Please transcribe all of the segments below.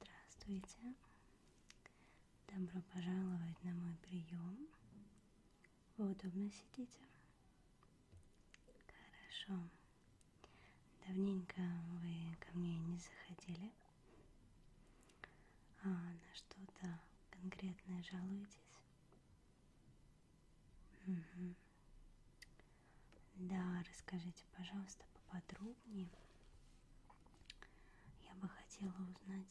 Здравствуйте! Добро пожаловать на мой прием. Вы удобно сидите? Хорошо. Давненько вы ко мне не заходили. А на что-то конкретное жалуетесь? Угу. Да, расскажите, пожалуйста, поподробнее. Я бы хотела узнать,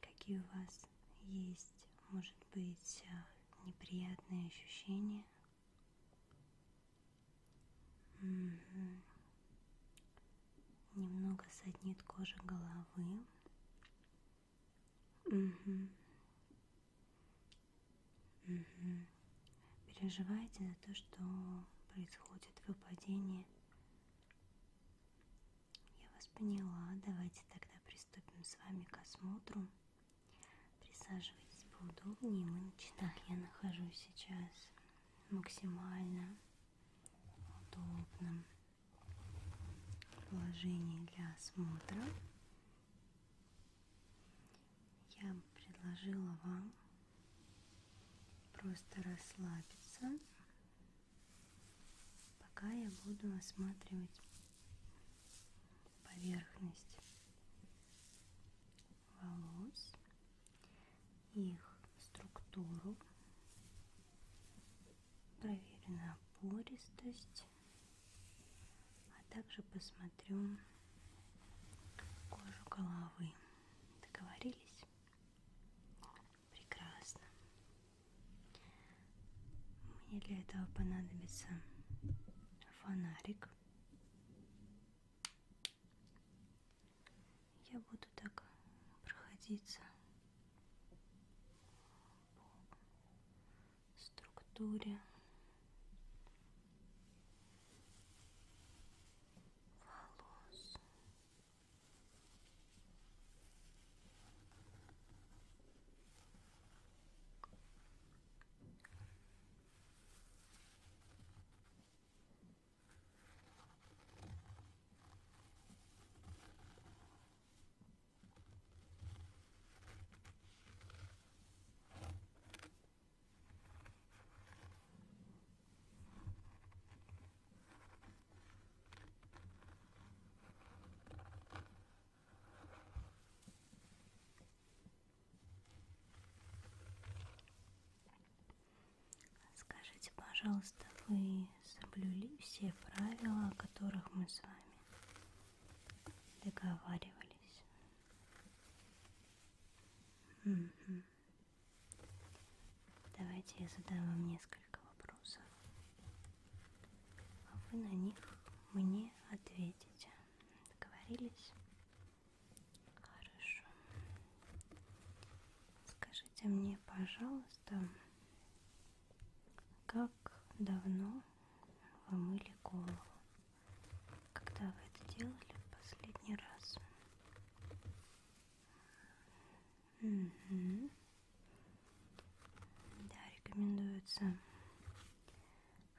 какие у вас есть, может быть, э, неприятные ощущения. Угу. Немного саднит кожа головы. Угу. Угу. Переживаете за то, что происходит выпадение? Я вас поняла. Давайте тогда приступим с вами к осмотру. Присаживайтесь поудобнее, мы начинаем. Я нахожусь сейчас максимально удобном положении для осмотра я предложила вам просто расслабиться, пока я буду осматривать поверхность волос, их структуру, проверенная пористость а также посмотрю кожу головы. Договорились? Прекрасно. Мне для этого понадобится фонарик. Я буду так проходиться по структуре волос. Скажите, пожалуйста, вы соблюли все правила, о которых мы с вами договаривались Угу. Давайте я задам вам несколько вопросов. А вы на них мне ответите. Договорились? Хорошо. Скажите мне, пожалуйста, как давно вы мыли голову? когда вы это делали в последний раз? Угу. Да, рекомендуется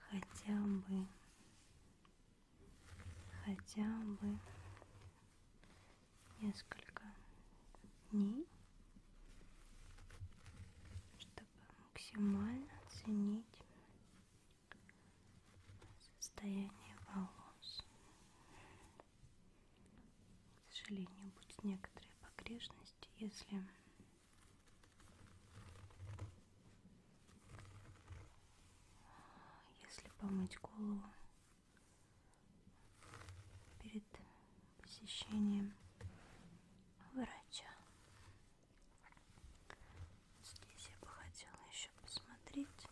хотя бы хотя бы несколько дней, чтобы максимально оценить состояние волос. К сожалению, будут некоторые погрешности, если если помыть голову перед посещением врача. Здесь я бы хотела еще посмотреть.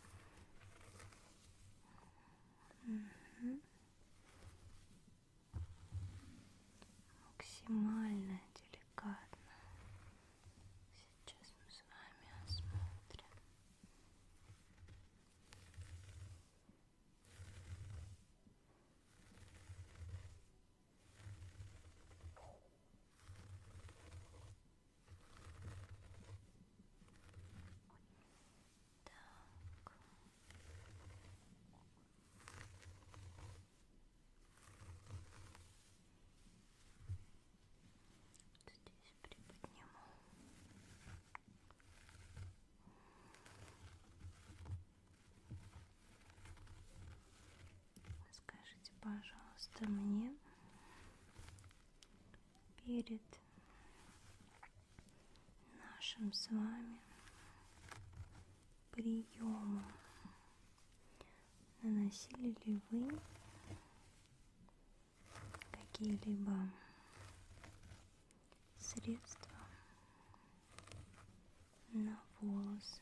Угу. Максимально деликатно. Сейчас мы с вами осмотрим. Угу. Так. Вот здесь приподниму. Так. Скажите, пожалуйста, мне перед нашим с вами приемом наносили ли вы какие-либо средства на волосы.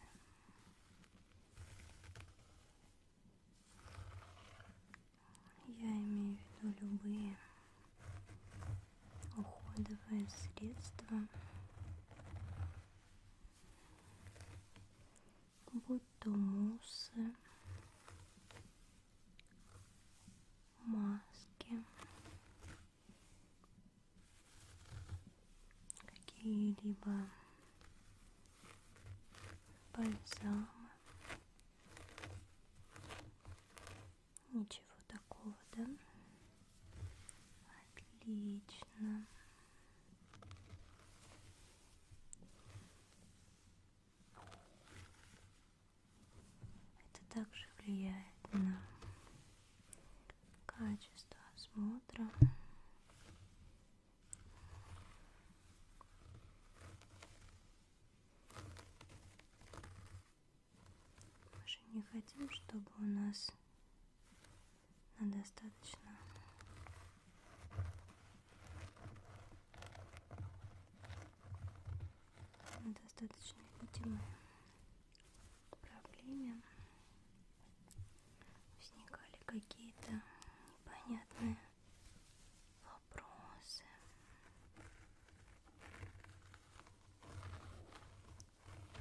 Я имею в виду любые уходовые средства. Будь то муссы, маски какие-либо бальзамы. Ничего такого, да? Отлично. Это также влияет на качество осмотра мы же не хотим, чтобы у нас на достаточно на достаточно видимой проблеме возникали какие-то непонятные вопросы.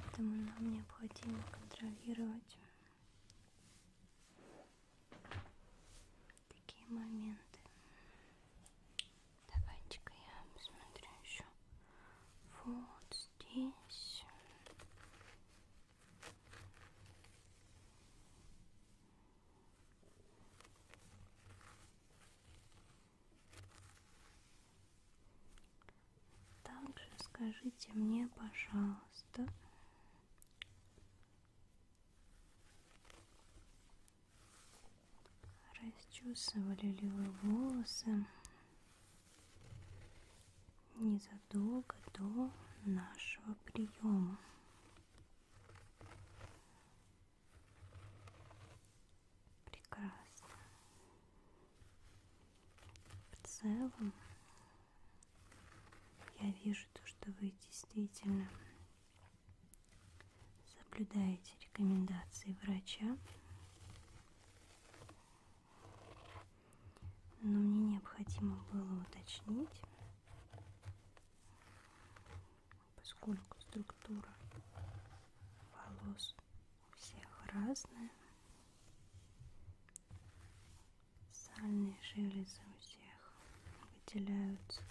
Поэтому нам необходимо контролировать такие моменты. Давайте-ка я посмотрю еще вот здесь. Также скажите мне, пожалуйста, расчесывали ли вы волосы незадолго до нашего приема. Прекрасно. В целом я вижу то, что вы действительно соблюдаете рекомендации врача но мне необходимо было уточнить, поскольку структура волос у всех разная, сальные железы у всех выделяются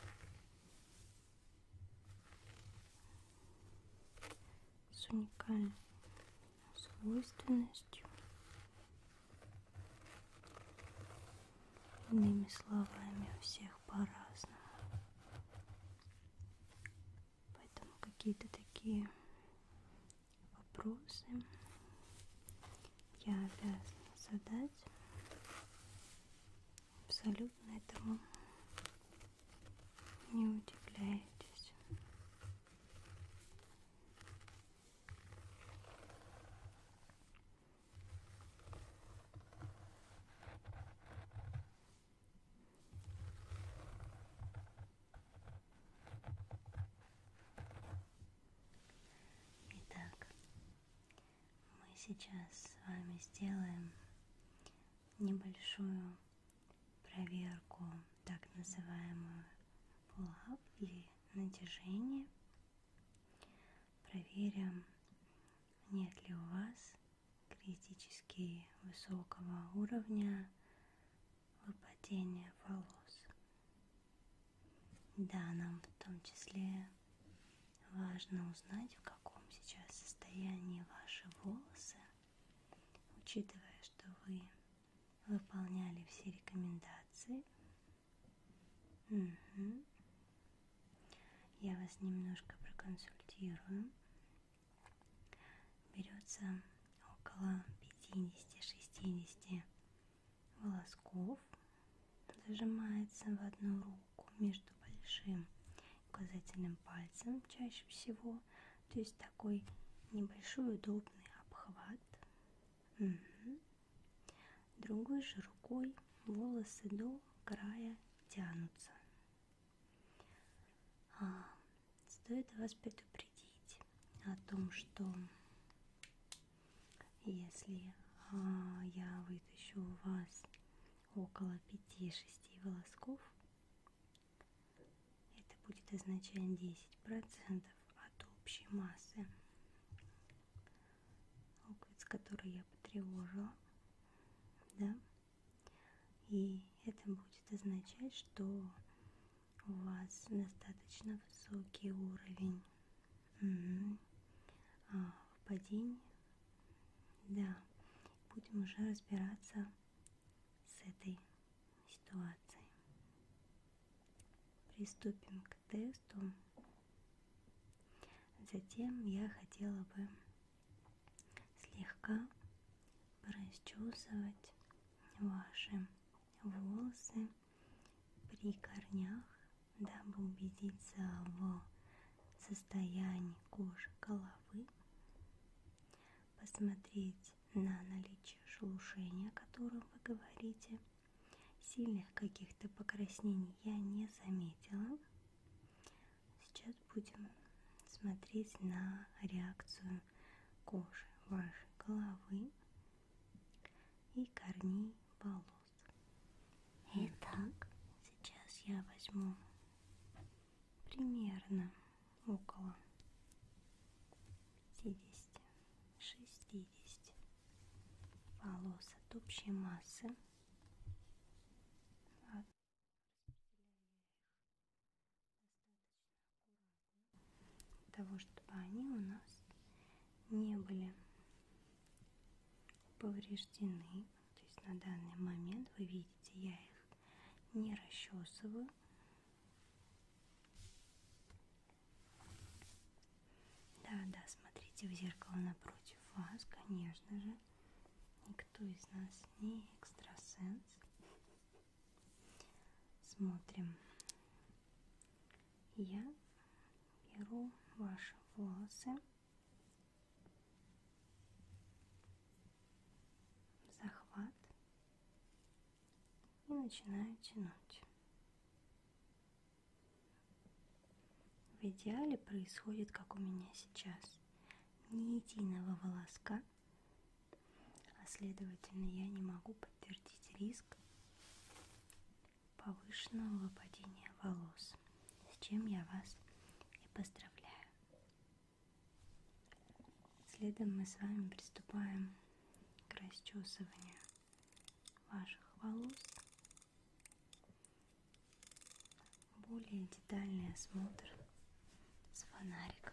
с уникальной свойственностью. Иными словами, у всех по-разному. Поэтому какие-то такие вопросы я обязана задать абсолютно этому не удивляйтесь. Итак, мы сейчас с вами сделаем небольшую проверку так называемую pull-up или натяжение. Проверим, нет ли у вас критически высокого уровня выпадения волос. Да, нам в том числе важно узнать, в каком сейчас состоянии ваши волосы – Учитывая, что вы выполняли все рекомендации, угу. я вас немножко проконсультирую. Берется около 50-60 волосков, зажимается в одну руку между большим и указательным пальцем чаще всего, то есть такой небольшой удобный обхват. Угу. Другой же рукой волосы до края тянутся. А, стоит вас предупредить о том, что если а, я вытащу у вас около 5-6 волосков, это будет означать 10% от общей массы луковиц, которые я потревожила. Да? И это будет означать, что у вас достаточно высокий уровень угу. а, падения. Да, будем уже разбираться с этой ситуацией. Приступим к тесту. Затем я хотела бы слегка расчесывать ваши волосы при корнях, дабы убедиться в состоянии кожи головы посмотреть на наличие шелушения, о котором вы говорите. Сильных каких-то покраснений я не заметила. Сейчас будем смотреть на реакцию кожи вашей головы и корней волос. Итак, сейчас я возьму примерно около 50 60 полос от общей массы того, чтобы они у нас не были повреждены. То есть на данный момент вы видите, я их не расчесываю. Да, да, смотрите в зеркало напротив вас, конечно же. Никто из нас не экстрасенс. Смотрим. Я беру ваши волосы захват и начинаю тянуть. В идеале происходит, как у меня сейчас, ни единого волоска, а следовательно я не могу подтвердить риск повышенного выпадения волос, с чем я вас и поздравляю. Следом мы с вами приступаем к расчесыванию ваших волос. Более детальный осмотр с фонариком.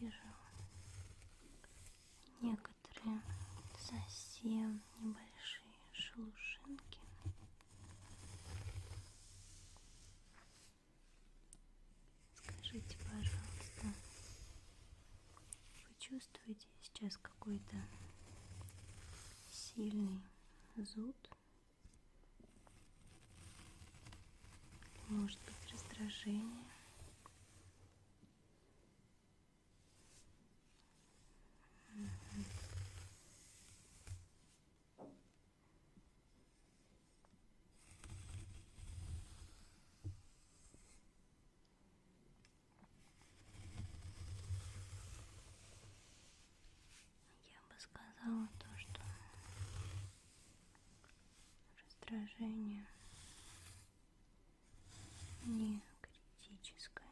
Я вижу некоторые совсем небольшие. Шелушинкин. Скажите, пожалуйста, вы чувствуете сейчас какой-то сильный зуд? Может быть раздражение? Я бы сказала то, что раздражение не критическая.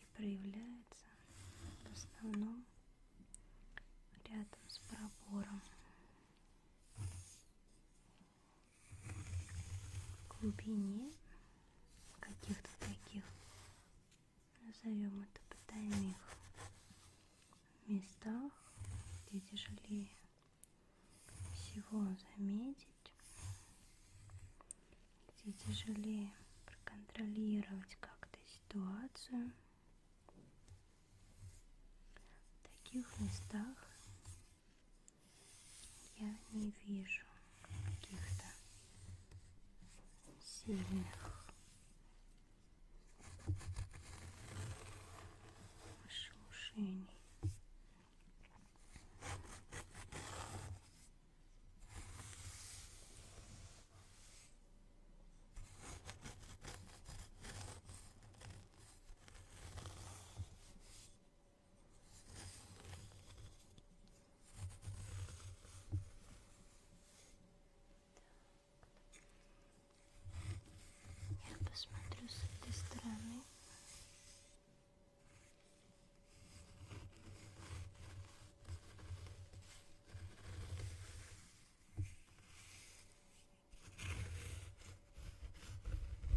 И проявляется в основном рядом с пробором. В глубине каких-то таких назовем это по тайных местах, где тяжелее всего заметить, где тяжелее проконтролировать как-то ситуацию. В таких местах я не вижу каких-то сильных шелушений. Я посмотрю с этой стороны. Хорошо.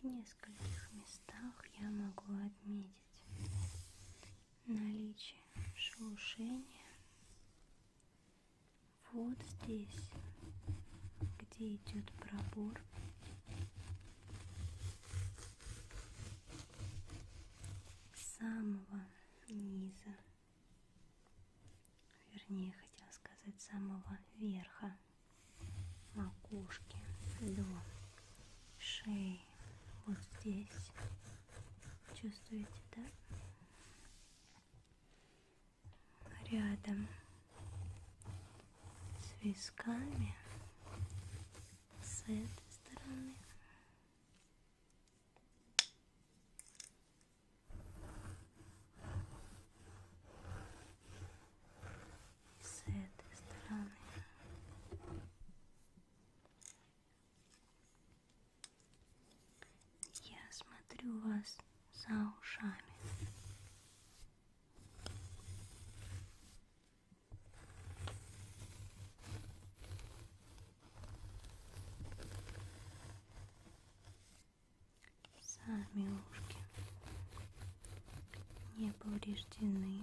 В нескольких местах я могу отметить наличие шелушения вот здесь, где идет пробор. самого низа вернее хотела сказать самого верха макушки до шеи вот здесь чувствуете да рядом с висками с этой стороны с этой стороны. Я смотрю вас за ушами. Сами ушки не повреждены.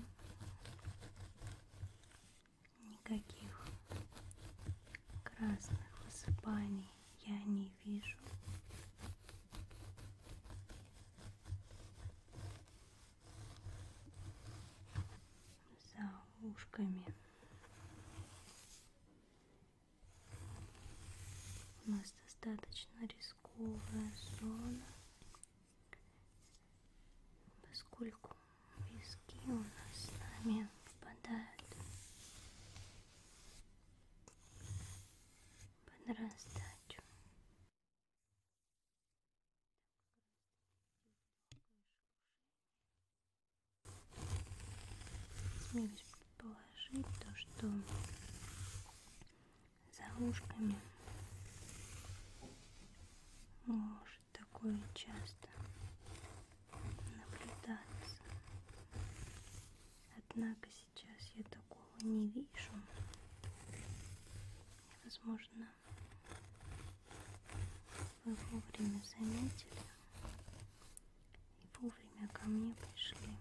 Никаких красных высыпаний я не вижу за ушками. У нас достаточно рисковая зона, поскольку виски у нас с нами впадают под раздачу. Смею предположить то, что за ушками может такое часто наблюдаться. Однако сейчас я такого не вижу. Возможно, вы вовремя заметили и вовремя ко мне пришли.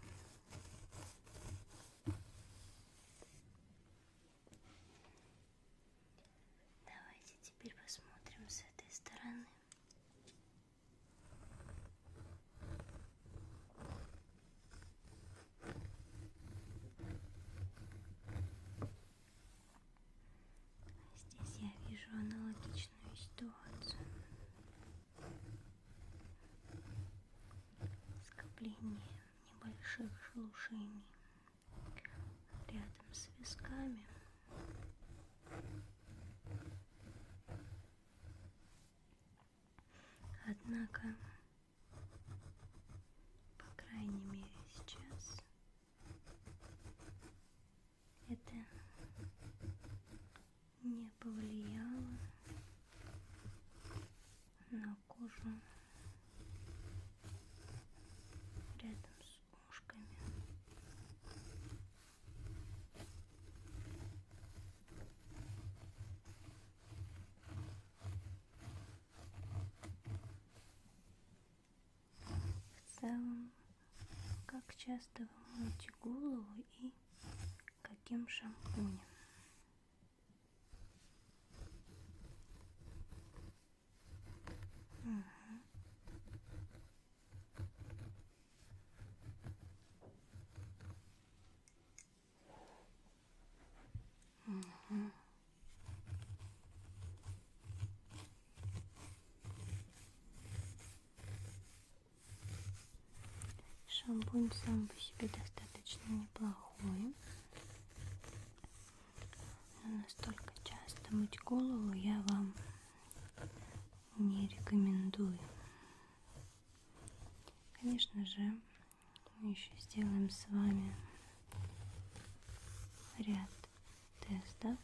Давайте теперь посмотрим с этой стороны. Здесь я вижу аналогичную ситуацию. Скопление небольших шелушений рядом с висками. Однако, по крайней мере сейчас, это не повлияло на кожу рядом с ушками. В целом, как часто вы моете голову и каким шампунем? Угу. Угу. Шампунь сам по себе достаточно неплохой. Но настолько часто мыть голову я вам не рекомендую. Конечно же, мы еще сделаем с вами ряд тестов.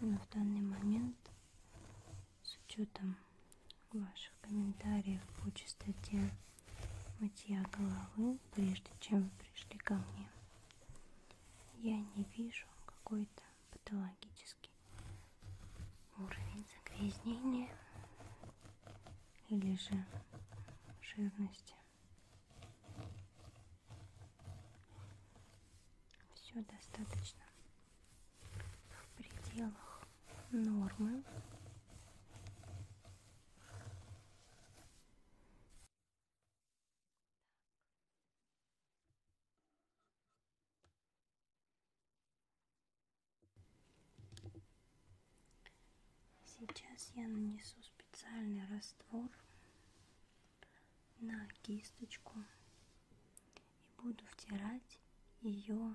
Но в данный момент с учетом ваших комментариев по частоте мытья головы, прежде чем вы пришли ко мне, я не вижу какой-то патологический уровень загрязнения или же жирности. Все достаточно в пределах нормы. Сейчас я нанесу специальный раствор на кисточку и буду втирать ее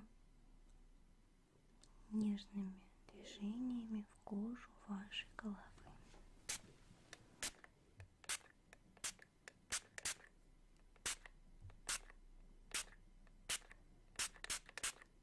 нежными движениями в кожу вашей головы.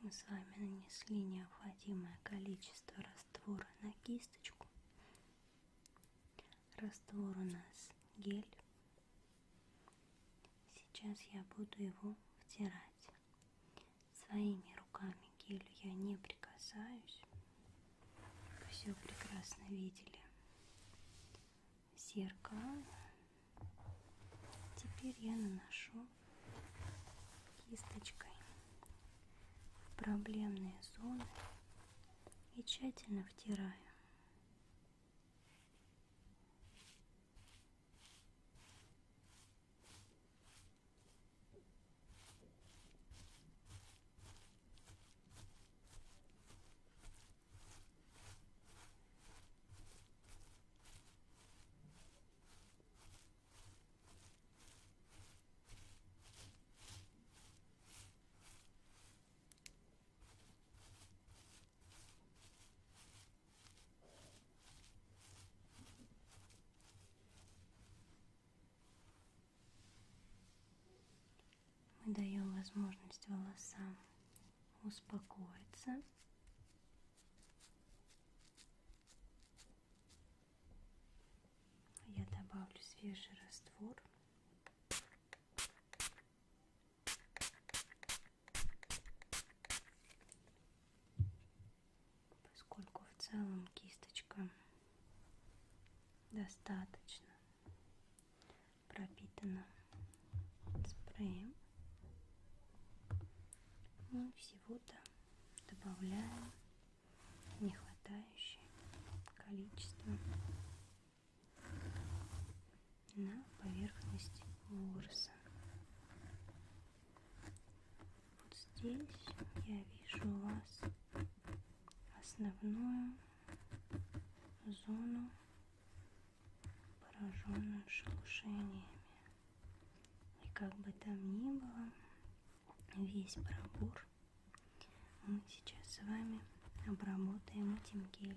мы с вами нанесли необходимое количество раствора на кисточку. Раствор у нас гель. Сейчас я буду его втирать. Своими руками к гелю я не прикасаюсь. Вы все прекрасно видели. Зеркало. Теперь я наношу кисточкой в проблемные зоны и тщательно втираю. Мы даем возможность волосам успокоиться а я добавлю свежий раствор. Поскольку в целом кисточка достаточно пропитана спреем, мы ну, всего-то добавляем нехватающее количество на поверхность ворса. Вот здесь я вижу у вас основную зону, пораженную шелушениями. И как бы там ни было, весь пробор мы сейчас с вами обработаем этим гелем.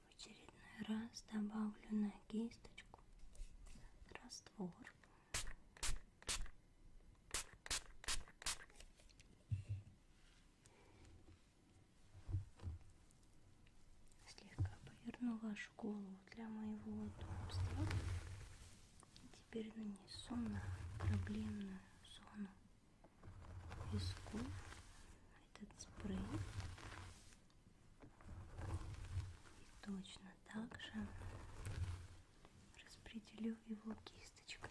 В очередной раз добавлю на кисточку раствор. Слегка поверну вашу голову для моего удобства. И теперь нанесу на проблемную зону висков этот спрей. И точно так же распределю его кисточкой.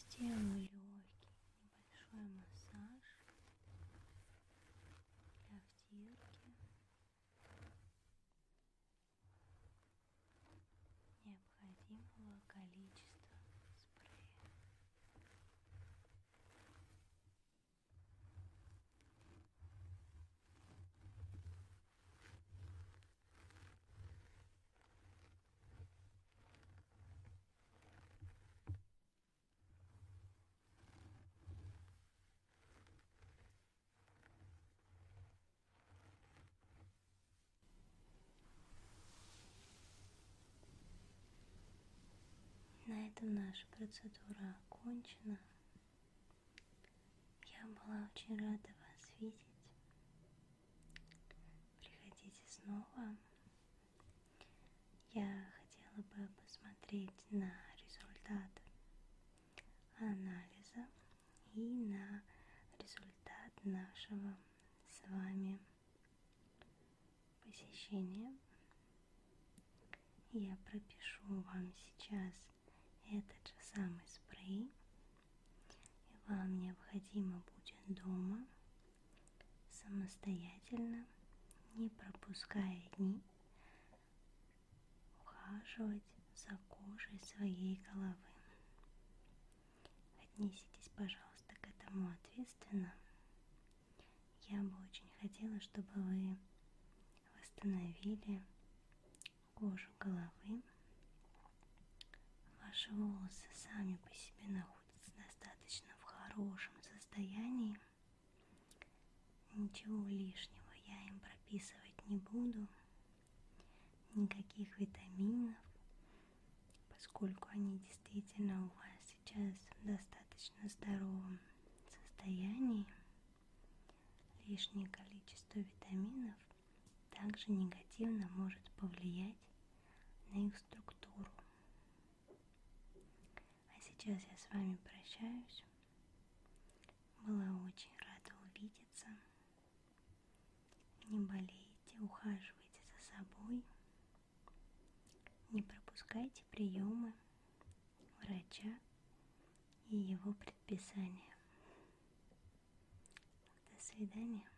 Сделаю легкий небольшой массаж для втирки. необходимого количества спрея. На этом наша процедура окончена. Я была очень рада вас видеть. Приходите снова. Я хотела бы посмотреть на результат анализа и на результат нашего с вами посещения. Я пропишу вам сейчас этот же самый спрей. И вам необходимо будет дома самостоятельно, не пропуская дни, ухаживать за кожей своей головы. Отнеситесь, пожалуйста, к этому ответственно. Я бы очень хотела, чтобы вы восстановили кожу головы. Ваши волосы сами по себе находятся находится достаточно в хорошем состоянии. Ничего лишнего я им прописывать не буду. Никаких витаминов, поскольку они действительно у вас сейчас в достаточно здоровом состоянии. Лишнее количество витаминов также негативно может повлиять на их структуру. А сейчас я с вами прощаюсь. Была очень рада увидеться. Не болейте, ухаживайте за собой. Не пропускайте приемы врача и его предписания. До свидания.